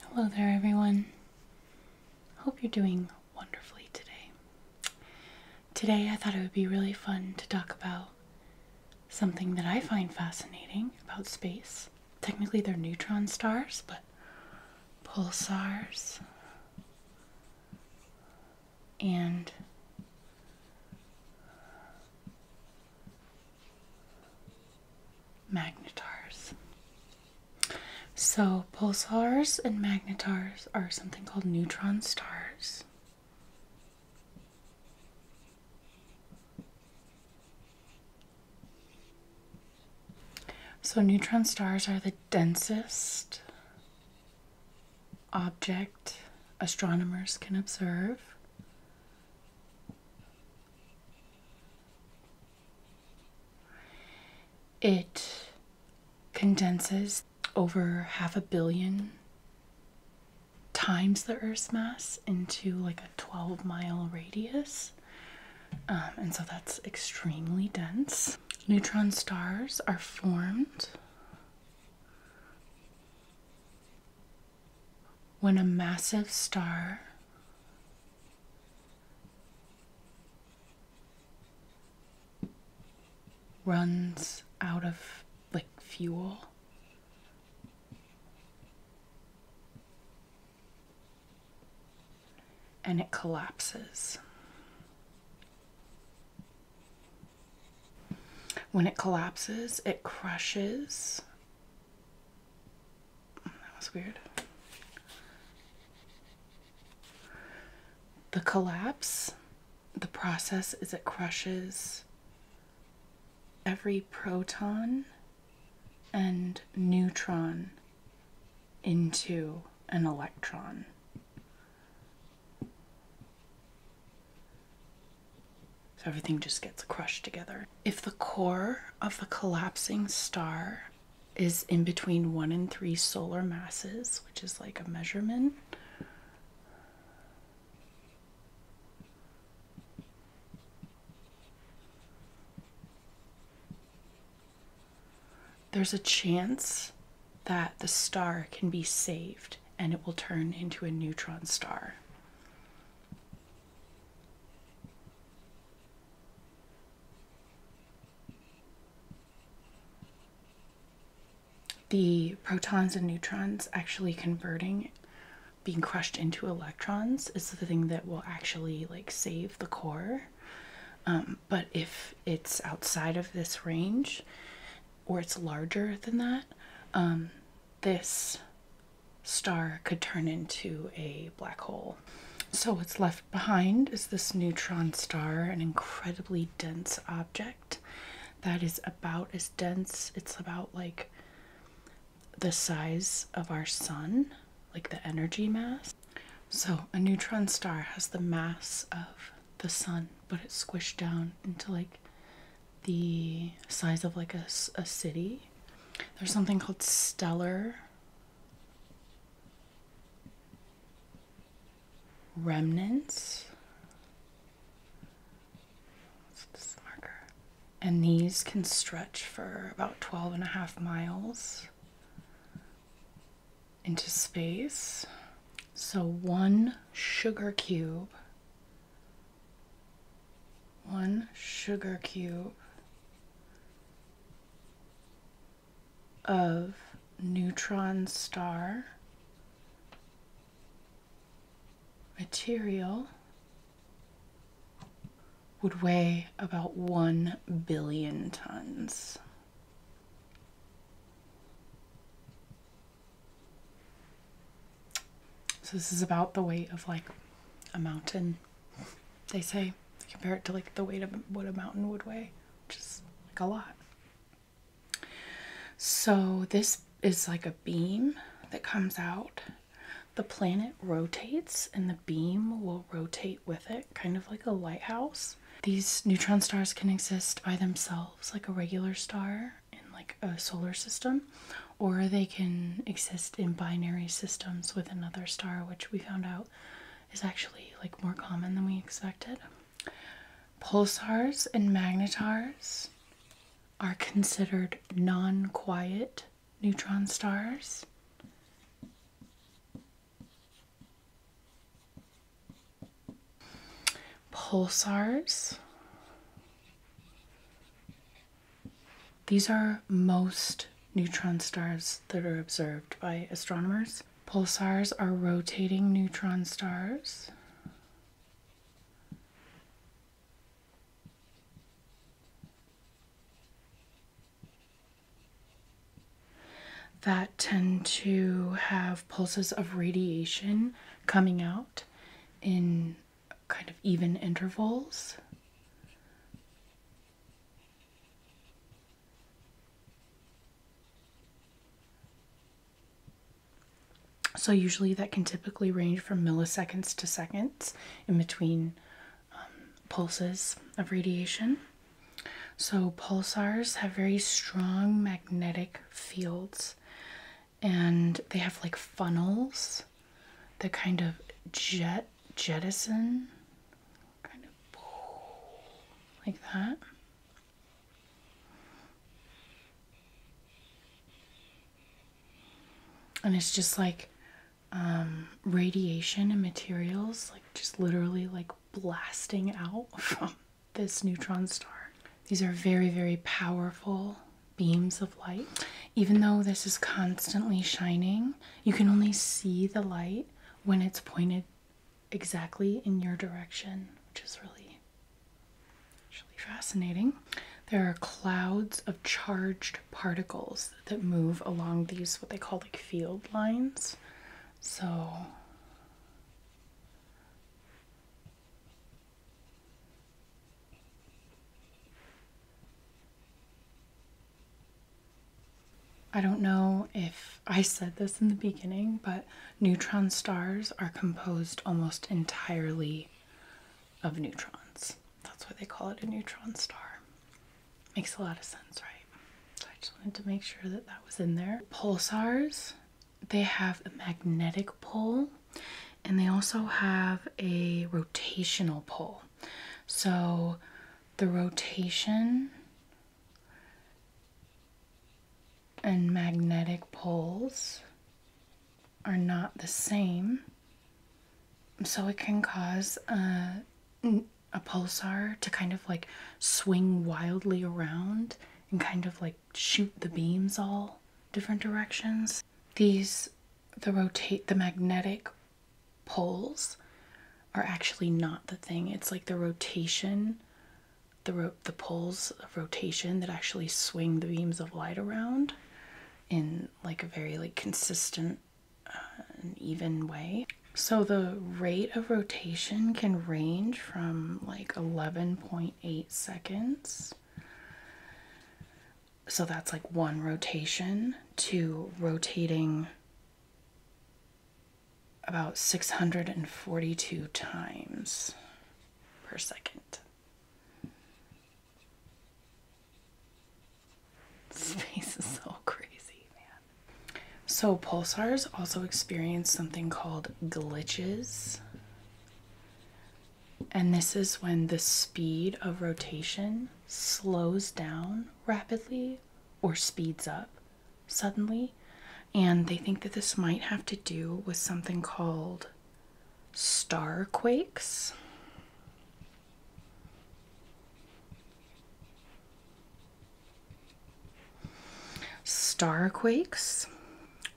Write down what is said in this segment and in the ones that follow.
Hello there, everyone. Hope you're doing wonderfully today. Today, I thought it would be really fun to talk about something that I find fascinating about space. Technically, they're neutron stars, but pulsars and magnetars. So, pulsars and magnetars are something called neutron stars. So, neutron stars are the densest object astronomers can observe. It condenses over half a billion times the Earth's mass into like a 12 mile radius. Um, and so that's extremely dense. Neutron stars are formed when a massive star runs out of like fuel. And it collapses. When it collapses, it crushes that was weird. The collapse, the process is it crushes every proton and neutron into an electron. So everything just gets crushed together. If the core of the collapsing star is in between one and three solar masses, which is like a measurement. There's a chance that the star can be saved and it will turn into a neutron star. The protons and neutrons actually converting, being crushed into electrons, is the thing that will actually like save the core. Um, but if it's outside of this range or it's larger than that, um, this star could turn into a black hole. So, what's left behind is this neutron star, an incredibly dense object that is about as dense, it's about like the size of our sun, like the energy mass. So, a neutron star has the mass of the sun, but it's squished down into like the size of like a, a city. There's something called stellar remnants. And these can stretch for about 12 and a half miles into space. So one sugar cube, one sugar cube of neutron star material would weigh about 1 billion tons. So this is about the weight of like a mountain. They say they compare it to like the weight of what a mountain would weigh, which is like a lot. So this is like a beam that comes out. The planet rotates and the beam will rotate with it, kind of like a lighthouse. These neutron stars can exist by themselves like a regular star in like a solar system or they can exist in binary systems with another star which we found out is actually like more common than we expected pulsars and magnetars are considered non-quiet neutron stars pulsars. These are most neutron stars that are observed by astronomers. Pulsars are rotating neutron stars that tend to have pulses of radiation coming out in kind of even intervals. So, usually that can typically range from milliseconds to seconds in between um, pulses of radiation. So, pulsars have very strong magnetic fields and they have like funnels that kind of jet jettison kind of like that. And it's just like um, radiation and materials, like just literally like blasting out from this neutron star. These are very, very powerful beams of light. Even though this is constantly shining, you can only see the light when it's pointed exactly in your direction, which is really, really fascinating. There are clouds of charged particles that move along these, what they call like field lines. So I don't know if I said this in the beginning, but neutron stars are composed almost entirely of neutrons. That's why they call it a neutron star. Makes a lot of sense, right? I just wanted to make sure that that was in there. Pulsars, they have a magnetic pole and they also have a rotational pole. So the rotation and magnetic poles are not the same. So it can cause a a pulsar to kind of like swing wildly around and kind of like shoot the beams all different directions. These the rotate the magnetic poles are actually not the thing. It's like the rotation the ro the poles of rotation that actually swing the beams of light around in like a very like consistent an even way. So the rate of rotation can range from like 11.8 seconds. So that's like one rotation to rotating about 642 times per second. Space is so crazy, man. So, pulsars also experience something called glitches. And this is when the speed of rotation slows down rapidly or speeds up suddenly. And they think that this might have to do with something called star quakes. Starquakes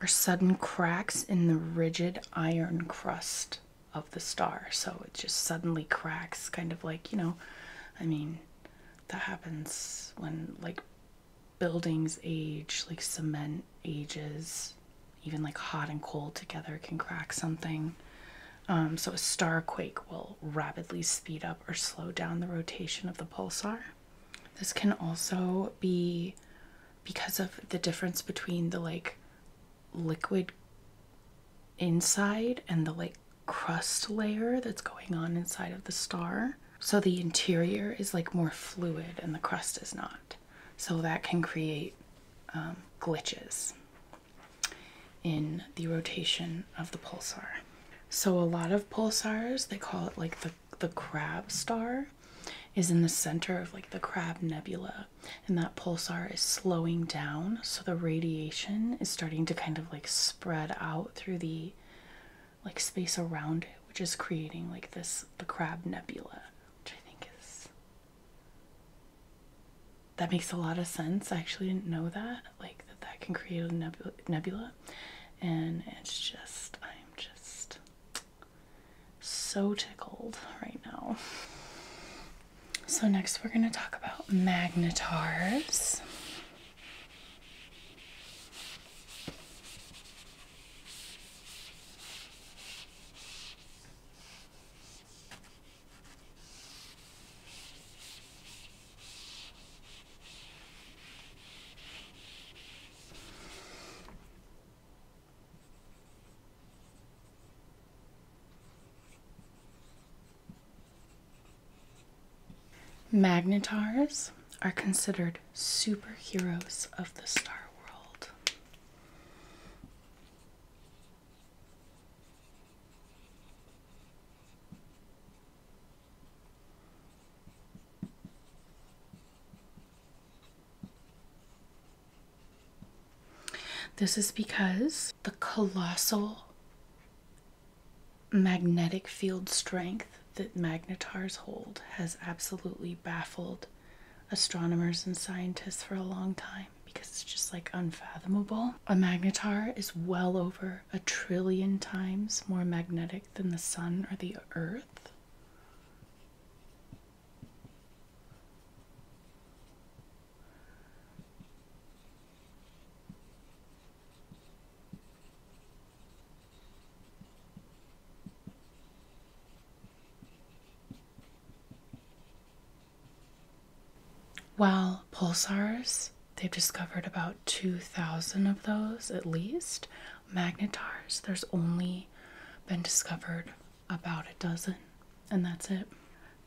are sudden cracks in the rigid iron crust of the star. So it just suddenly cracks, kind of like, you know, I mean, that happens when like buildings age, like cement ages, even like hot and cold together can crack something. Um, so a star quake will rapidly speed up or slow down the rotation of the pulsar. This can also be because of the difference between the like liquid inside and the like crust layer that's going on inside of the star. So the interior is like more fluid and the crust is not. So that can create um, glitches in the rotation of the pulsar. So a lot of pulsars, they call it like the the crab star is in the center of like the crab nebula and that pulsar is slowing down so the radiation is starting to kind of like spread out through the like space around it which is creating like this the crab nebula which I think is that makes a lot of sense. I actually didn't know that, like that that can create a nebula, nebula. and it's just I'm just so tickled right now. So next we're going to talk about magnetars. Magnetars are considered superheroes of the Star World. This is because the colossal magnetic field strength that magnetars hold has absolutely baffled astronomers and scientists for a long time because it's just like unfathomable. A magnetar is well over a trillion times more magnetic than the sun or the earth. Well, pulsars, they've discovered about 2,000 of those at least. Magnetars, there's only been discovered about a dozen, and that's it.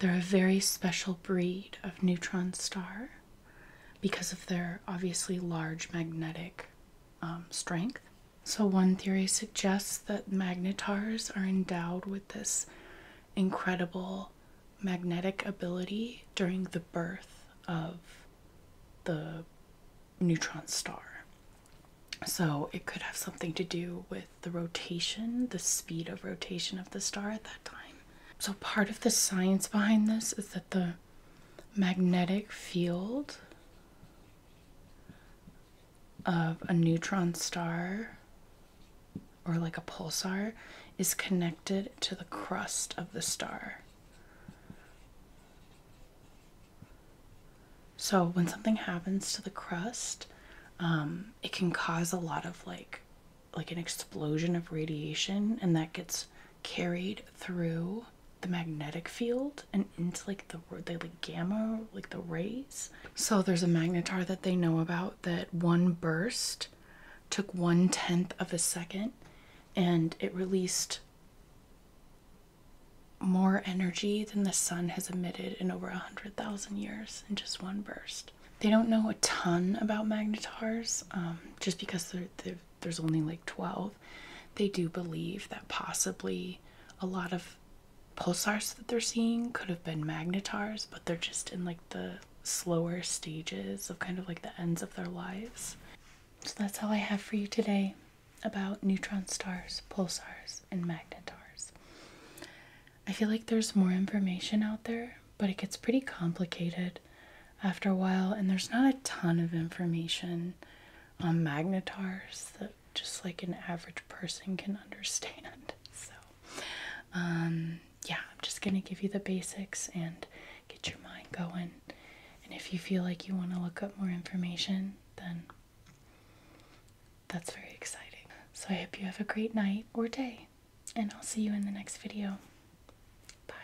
They're a very special breed of neutron star because of their obviously large magnetic um, strength. So, one theory suggests that magnetars are endowed with this incredible magnetic ability during the birth of the neutron star. So, it could have something to do with the rotation, the speed of rotation of the star at that time. So, part of the science behind this is that the magnetic field of a neutron star or like a pulsar is connected to the crust of the star. So when something happens to the crust, um, it can cause a lot of like like an explosion of radiation and that gets carried through the magnetic field and into like the they like gamma like the rays. So there's a magnetar that they know about that one burst took one tenth of a second and it released more energy than the sun has emitted in over a hundred thousand years in just one burst. They don't know a ton about magnetars um, just because they're, they're there's only like 12, they do believe that possibly a lot of pulsars that they're seeing could have been magnetars, but they're just in like the slower stages of kind of like the ends of their lives. So that's all I have for you today about neutron stars, pulsars, and magnetars. I feel like there's more information out there, but it gets pretty complicated after a while, and there's not a ton of information on magnetars that just like an average person can understand. So, um, yeah, I'm just gonna give you the basics and get your mind going. And if you feel like you want to look up more information, then that's very exciting. So, I hope you have a great night or day, and I'll see you in the next video. Bye.